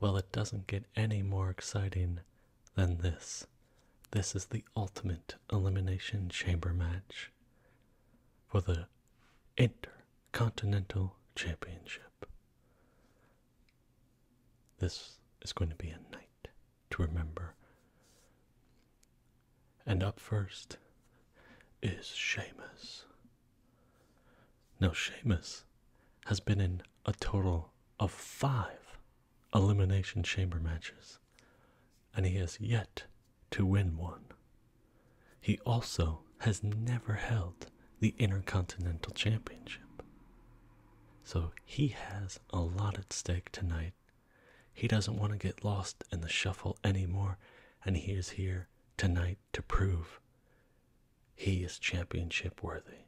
Well, it doesn't get any more exciting than this. This is the ultimate elimination chamber match for the Intercontinental Championship. This is going to be a night to remember. And up first is Shamus. Now, Sheamus has been in a total of five Elimination Chamber matches, and he has yet to win one. He also has never held the Intercontinental Championship. So he has a lot at stake tonight. He doesn't want to get lost in the shuffle anymore, and he is here tonight to prove he is championship worthy.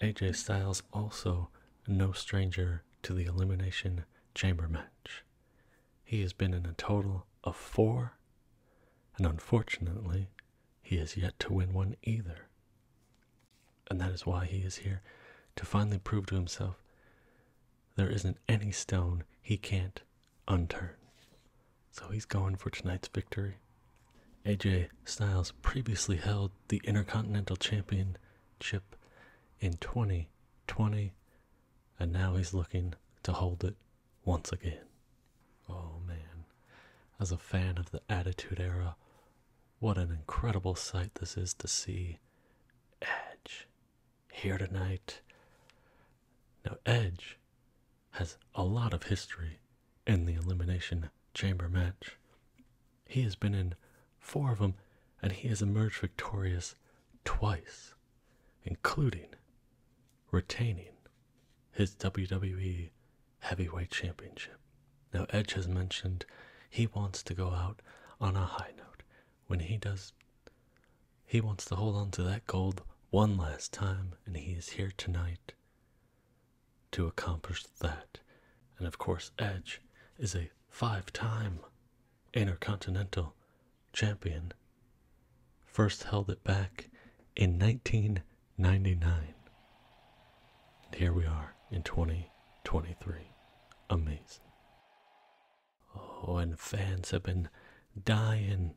AJ Styles also no stranger to the Elimination Chamber match. He has been in a total of four, and unfortunately, he has yet to win one either. And that is why he is here to finally prove to himself there isn't any stone he can't unturned. So he's going for tonight's victory. AJ Styles previously held the Intercontinental Champion chip in 2020, and now he's looking to hold it once again. Oh man, as a fan of the Attitude Era, what an incredible sight this is to see Edge here tonight. Now, Edge has a lot of history in the Elimination Chamber match. He has been in four of them and he has emerged victorious twice, including retaining his WWE Heavyweight Championship. Now, Edge has mentioned he wants to go out on a high note. When he does, he wants to hold on to that gold one last time, and he is here tonight to accomplish that, and of course, Edge is a five time Intercontinental Champion, first held it back in 1999. And here we are in 2023. Amazing. Oh, and fans have been dying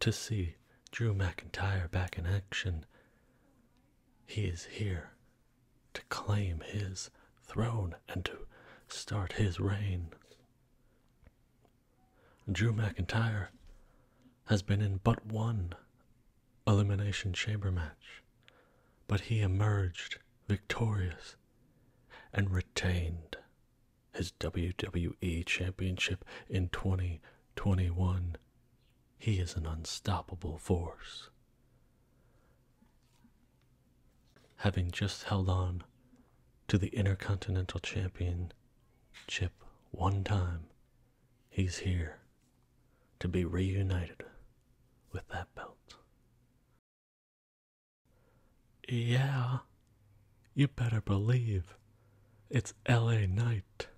to see Drew McIntyre back in action. He is here to claim his throne and to start his reign. Drew McIntyre has been in but one Elimination Chamber match, but he emerged victorious and retained his WWE Championship in 20 21. He is an unstoppable force. Having just held on to the Intercontinental Champion, Chip, one time, he's here to be reunited with that belt. Yeah, you better believe it's LA Knight.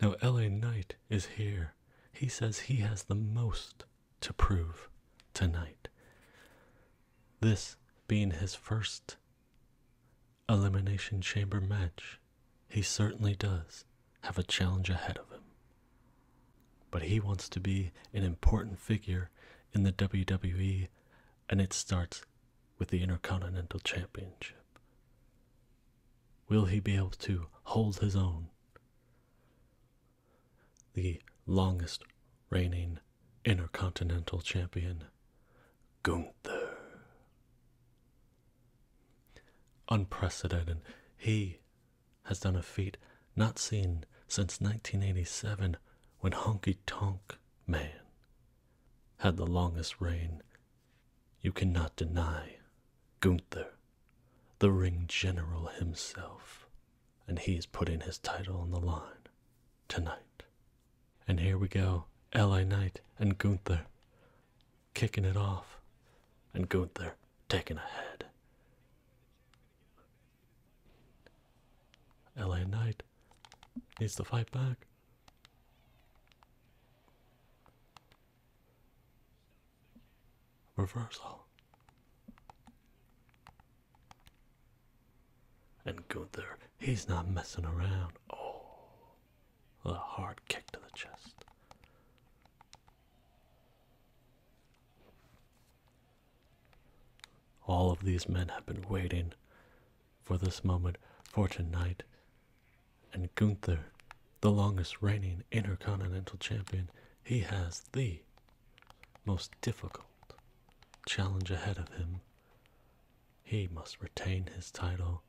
Now, LA Knight is here. He says he has the most to prove tonight. This being his first Elimination Chamber match, he certainly does have a challenge ahead of him. But he wants to be an important figure in the WWE, and it starts with the Intercontinental Championship. Will he be able to hold his own? The longest reigning intercontinental champion, Gunther. Unprecedented. He has done a feat not seen since 1987 when Honky Tonk Man had the longest reign. You cannot deny Gunther, the ring general himself, and he's putting his title on the line tonight. And here we go, Eli Knight and Gunther kicking it off, and Gunther taking a head. LA Knight needs to fight back. Reversal. And Gunther, he's not messing around. Oh, a hard kick to the chest. All of these men have been waiting for this moment, Fortune Knight, and Gunther, the longest reigning Intercontinental Champion, he has the most difficult challenge ahead of him. He must retain his title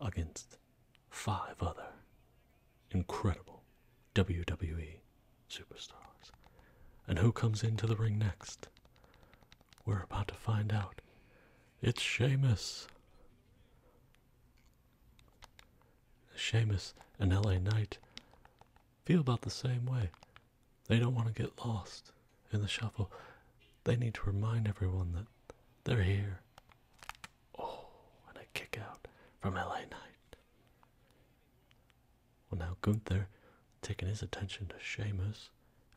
against five other incredible WWE superstars. And who comes into the ring next? We're about to find out. It's Seamus. Seamus and LA Knight feel about the same way. They don't want to get lost in the shuffle. They need to remind everyone that they're here. Oh, and a kick out from LA Knight. Well, now Gunther taking his attention to Seamus.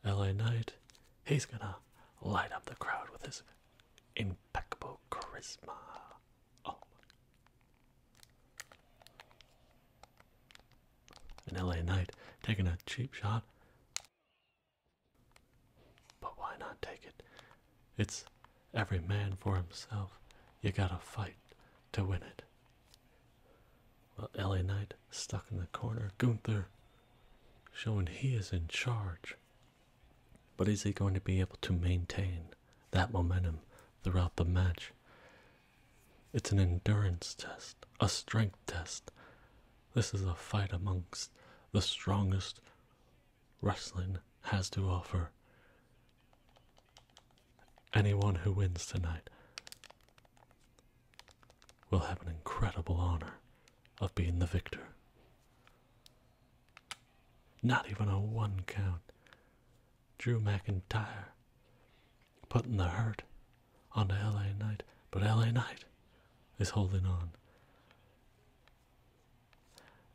LA Knight, he's gonna light up the crowd with his impeccable charisma. Oh. An LA Knight taking a cheap shot. But why not take it? It's every man for himself. You gotta fight to win it. Well, LA Knight stuck in the corner. Gunther showing he is in charge. But is he going to be able to maintain that momentum throughout the match? It's an endurance test, a strength test. This is a fight amongst the strongest wrestling has to offer. Anyone who wins tonight will have an incredible honor of being the victor. Not even a one count. Drew McIntyre putting the hurt on onto LA Knight, but LA Knight is holding on.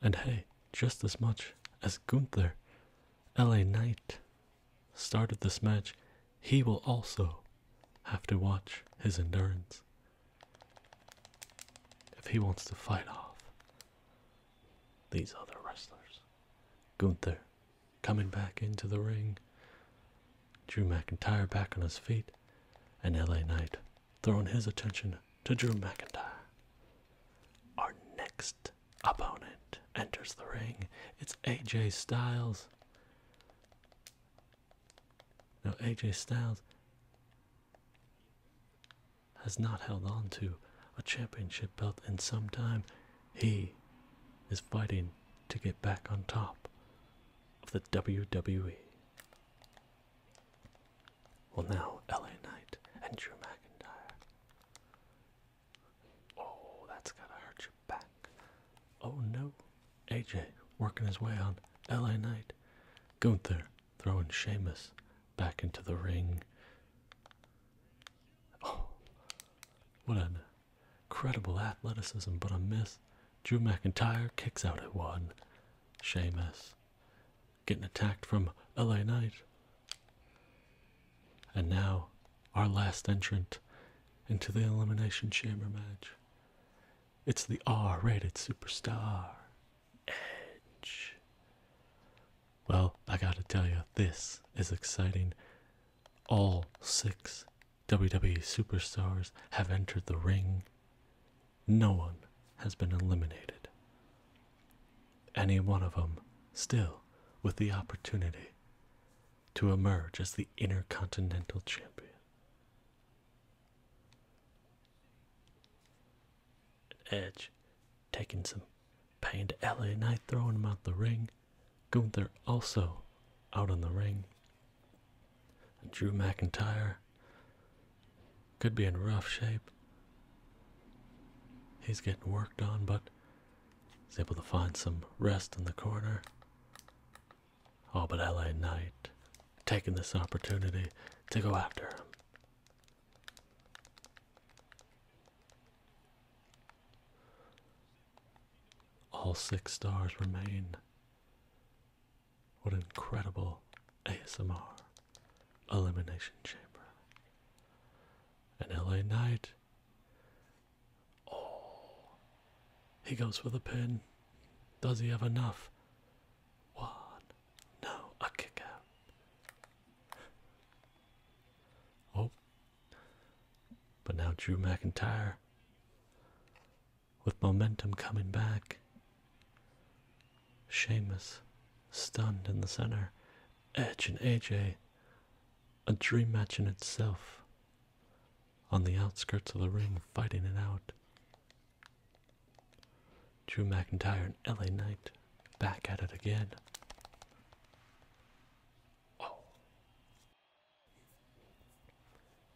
And hey, just as much as Gunther, LA Knight started this match, he will also have to watch his endurance if he wants to fight off these other wrestlers. Gunther coming back into the ring, Drew McIntyre back on his feet, and LA Knight throwing his attention to Drew McIntyre. Our next opponent enters the ring. It's AJ Styles. Now, AJ Styles has not held on to a championship belt in some time. He is fighting to get back on top of the WWE. Well, now LA Knight and Drew McIntyre. Oh, that's to hurt back. Oh no. AJ working his way on LA Knight. Gunther throwing Sheamus back into the ring. Oh, what an incredible athleticism, but a miss. Drew McIntyre kicks out at one. Sheamus getting attacked from LA Knight. And now our last entrant into the Elimination Chamber match. It's the R rated superstar, Edge. Well, I gotta tell you, this is exciting. All six WWE superstars have entered the ring. No one has been eliminated. Any one of them still with the opportunity to emerge as the Intercontinental Champion. Edge taking some pain to LA Knight, throwing him out the ring. Gunther also out on the ring. Drew McIntyre could be in rough shape. He's getting worked on, but he's able to find some rest in the corner. All but LA Knight taking this opportunity to go after him. All six stars remain. What incredible ASMR Elimination Chamber. And LA Knight Oh. He goes for the pin. Does he have enough? One. No, a kick Oh. But now Drew McIntyre, with momentum coming back. Sheamus, stunned in the center. Edge and AJ, a dream match in itself on the outskirts of the ring, fighting it out. Drew McIntyre and LA Knight back at it again. Oh.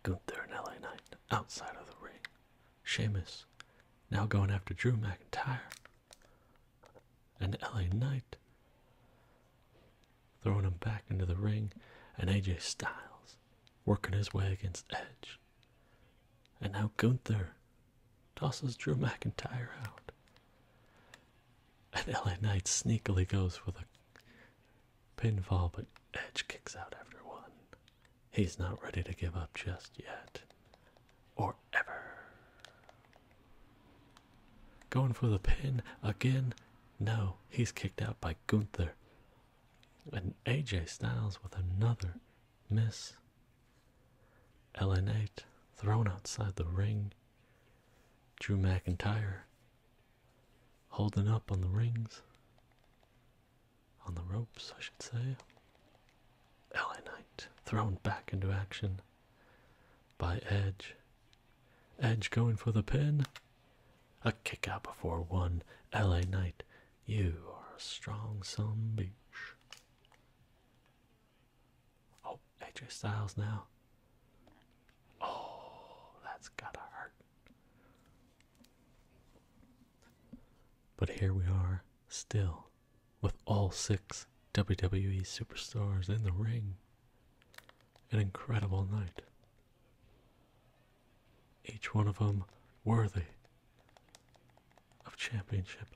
Gunther and LA Knight outside of the ring. Sheamus now going after Drew McIntyre and LA Knight throwing him back into the ring, and AJ Styles working his way against Edge. And now Gunther tosses Drew McIntyre out. And LA Knight sneakily goes for the pinfall, but Edge kicks out after one. He's not ready to give up just yet. Or ever. Going for the pin again, no, he's kicked out by Gunther. And AJ Styles with another miss. LN8 thrown outside the ring. Drew McIntyre holding up on the rings. On the ropes, I should say. LA Knight thrown back into action by Edge. Edge going for the pin. A kick out before one. LA Knight, you are a strong some bitch. Oh, AJ Styles now. Oh, that's gotta hurt. But here we are, still, with all six WWE superstars in the ring. An incredible night each one of them worthy of championship.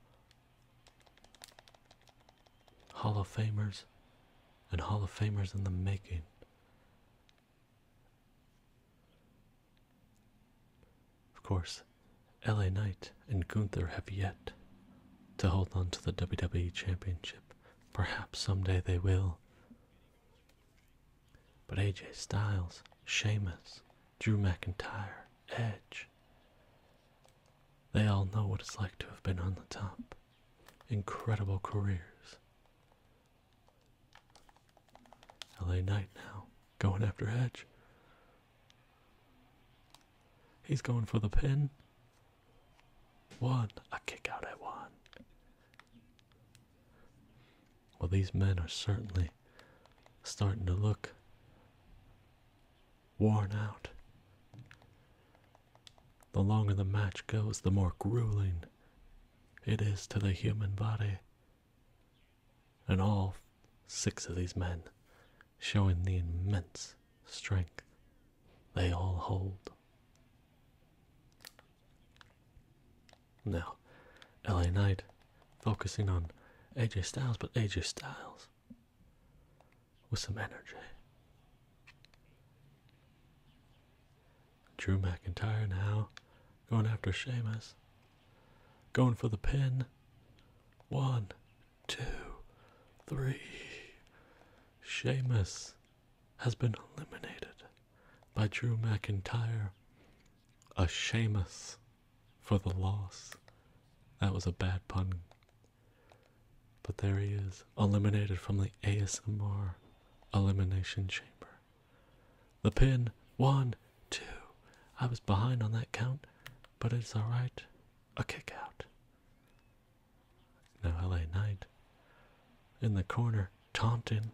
Hall of Famers and Hall of Famers in the making. Of course, LA Knight and Gunther have yet to hold on to the WWE Championship. Perhaps someday they will. But AJ Styles, Sheamus, Drew McIntyre, Edge, they all know what it's like to have been on the top. Incredible careers. LA Knight now, going after Edge. He's going for the pin. One! A kick out at one. Well, these men are certainly starting to look worn out. The longer the match goes, the more grueling it is to the human body. And all six of these men showing the immense strength they all hold. Now, LA Knight focusing on AJ Styles, but AJ Styles with some energy. Drew McIntyre now going after Sheamus. Going for the pin. One, two, three. Sheamus has been eliminated by Drew McIntyre. A shameless, for the loss. That was a bad pun. But there he is, eliminated from the ASMR Elimination Chamber. The pin, one, two. I was behind on that count, but it's alright. A kick out. Now LA Knight. In the corner, taunting.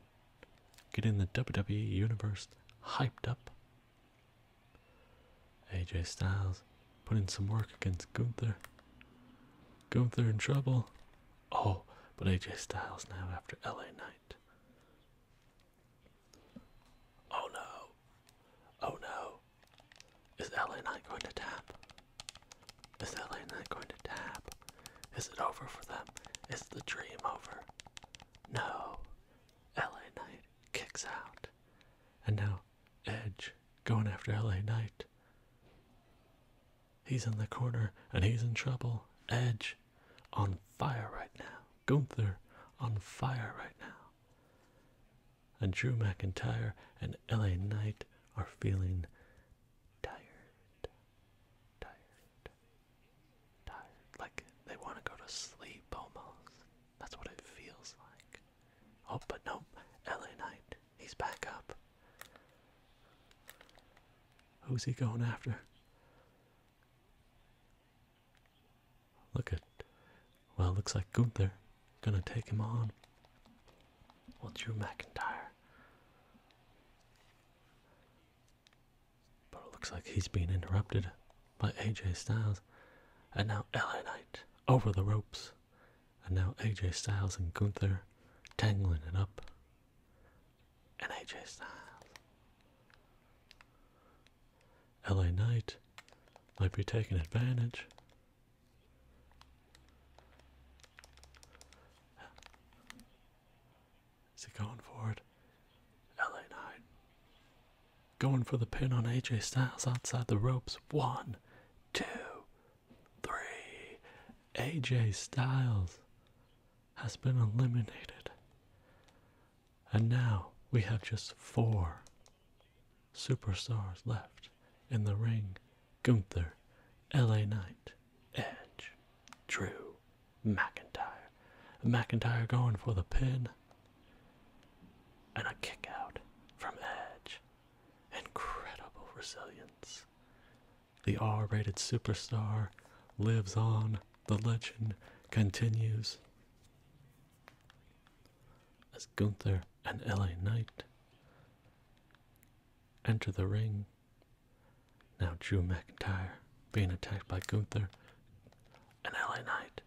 Getting the WWE Universe hyped up. AJ Styles putting some work against Gunther. Gunther in trouble. Oh, but AJ Styles now after LA Knight. Oh no. Oh no. Is LA Knight going to tap? Is that lane going to tap? Is it over for them? Is the dream over? No. LA Knight kicks out. And now Edge going after LA Knight. He's in the corner and he's in trouble. Edge on fire right now. Gunther on fire right now. And Drew McIntyre and LA Knight are feeling tired, tired, tired. Like they want to go to sleep almost. That's what it feels like. Oh, but no, LA Knight. He's back up. Who's he going after? Look at. Well, looks like Gunther. Gonna take him on. What's your McIntyre. But it looks like he's being interrupted by AJ Styles. And now LA Knight over the ropes. And now AJ Styles and Gunther tangling it up. And AJ Styles. LA Knight might be taking advantage. Is he going for it? LA9. Going for the pin on AJ Styles outside the ropes. One, two, three. AJ Styles has been eliminated. And now we have just four superstars left in the ring Gunther, LA Knight, Edge, Drew, McIntyre. McIntyre going for the pin. And a kick out from Edge. Incredible resilience. The R rated superstar lives on, the legend continues. As Gunther and LA Knight enter the ring. Now Drew McIntyre being attacked by Gunther and LA Knight.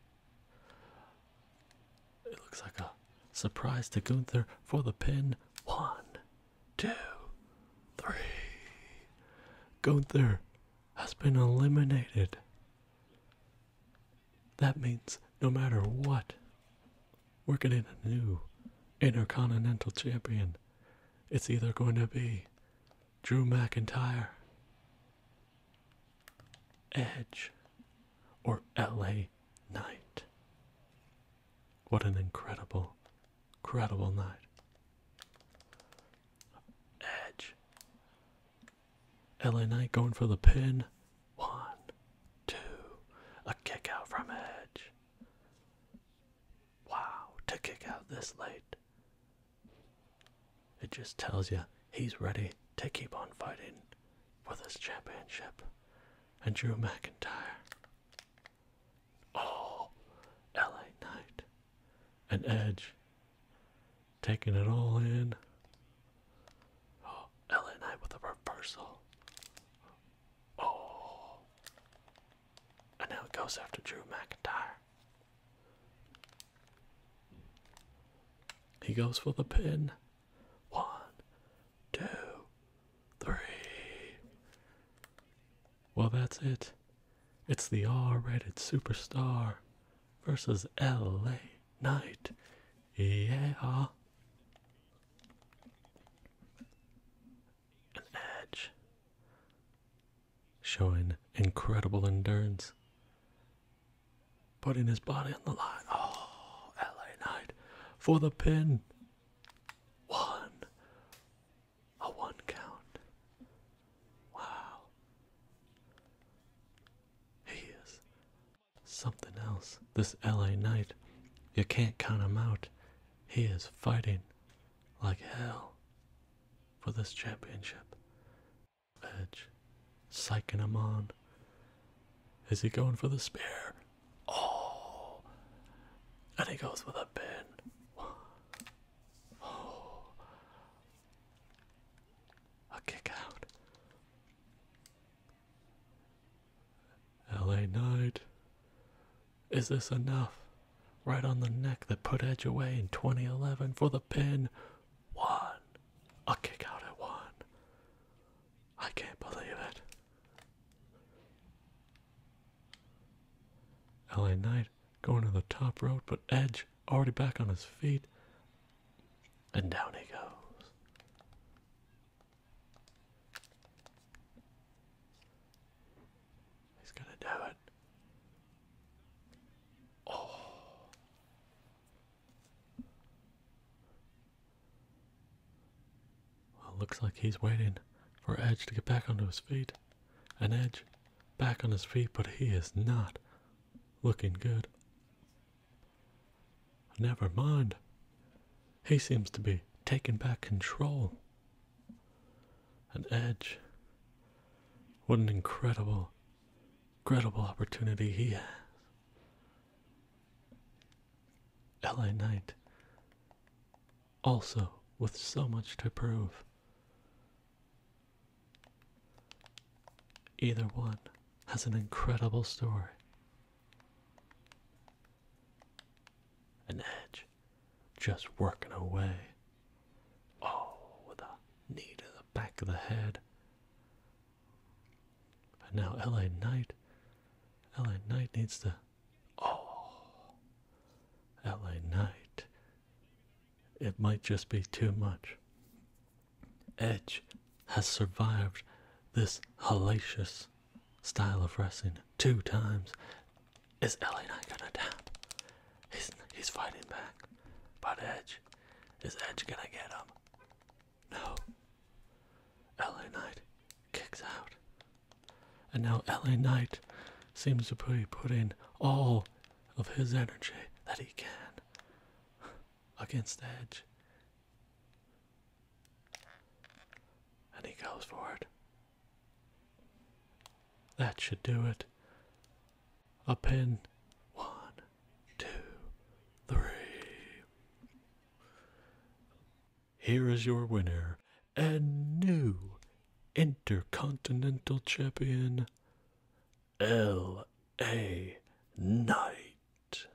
It looks like a surprise to Gunther for the pin. One, two, three. Gunther has been eliminated. That means no matter what Working in a new Intercontinental Champion. It's either going to be Drew McIntyre, Edge, or LA Knight. What an incredible, incredible night. Edge. LA Knight going for the pin. One, two, a kick out from Edge. Wow, to kick out this late. It just tells you he's ready to keep on fighting for this championship. And Drew McIntyre. Oh, LA Knight. And Edge. Taking it all in. Oh, Ellen and with a reversal. Oh. And now it goes after Drew McIntyre. He goes for the pin. One, two, three. Well, that's it. It's the R rated superstar versus LA Knight. Yeah. An edge. Showing incredible endurance. Putting his body on the line. Oh, LA Knight for the pin. One. A one count. Wow. He is Something else. This LA Knight. You can't count him out. He is fighting like hell for this championship. Edge. Psyching him on. Is he going for the spear? Oh! And he goes with a pin. Oh. A kick out. LA Knight. Is this enough? Right on the neck that put Edge away in 2011 for the pin. One. A kick out at one. I can't believe it. LA Knight going to the top rope, but Edge already back on his feet. And down he goes. He's gonna do it. Oh. Well, looks like he's waiting for Edge to get back onto his feet. And Edge back on his feet, but he is not looking good. Never mind. He seems to be taking back control. An edge. What an incredible, incredible opportunity he has. LA Knight, also with so much to prove. Either one has an incredible story. An edge, just working away. Oh, with a knee to the back of the head. And now LA Knight. LA Knight needs to. Oh! LA Knight. It might just be too much. Edge has survived this hellacious style of wrestling two times. Is LA Knight gonna tap? He's, he's fighting back. But Edge, is Edge gonna get him? No. LA Knight kicks out. And now LA Knight seems to be putting all of his energy that he can against Edge. And he goes for it. That should do it. A pin. One, two, three. Here is your winner and new Intercontinental Champion, L.A. Knight.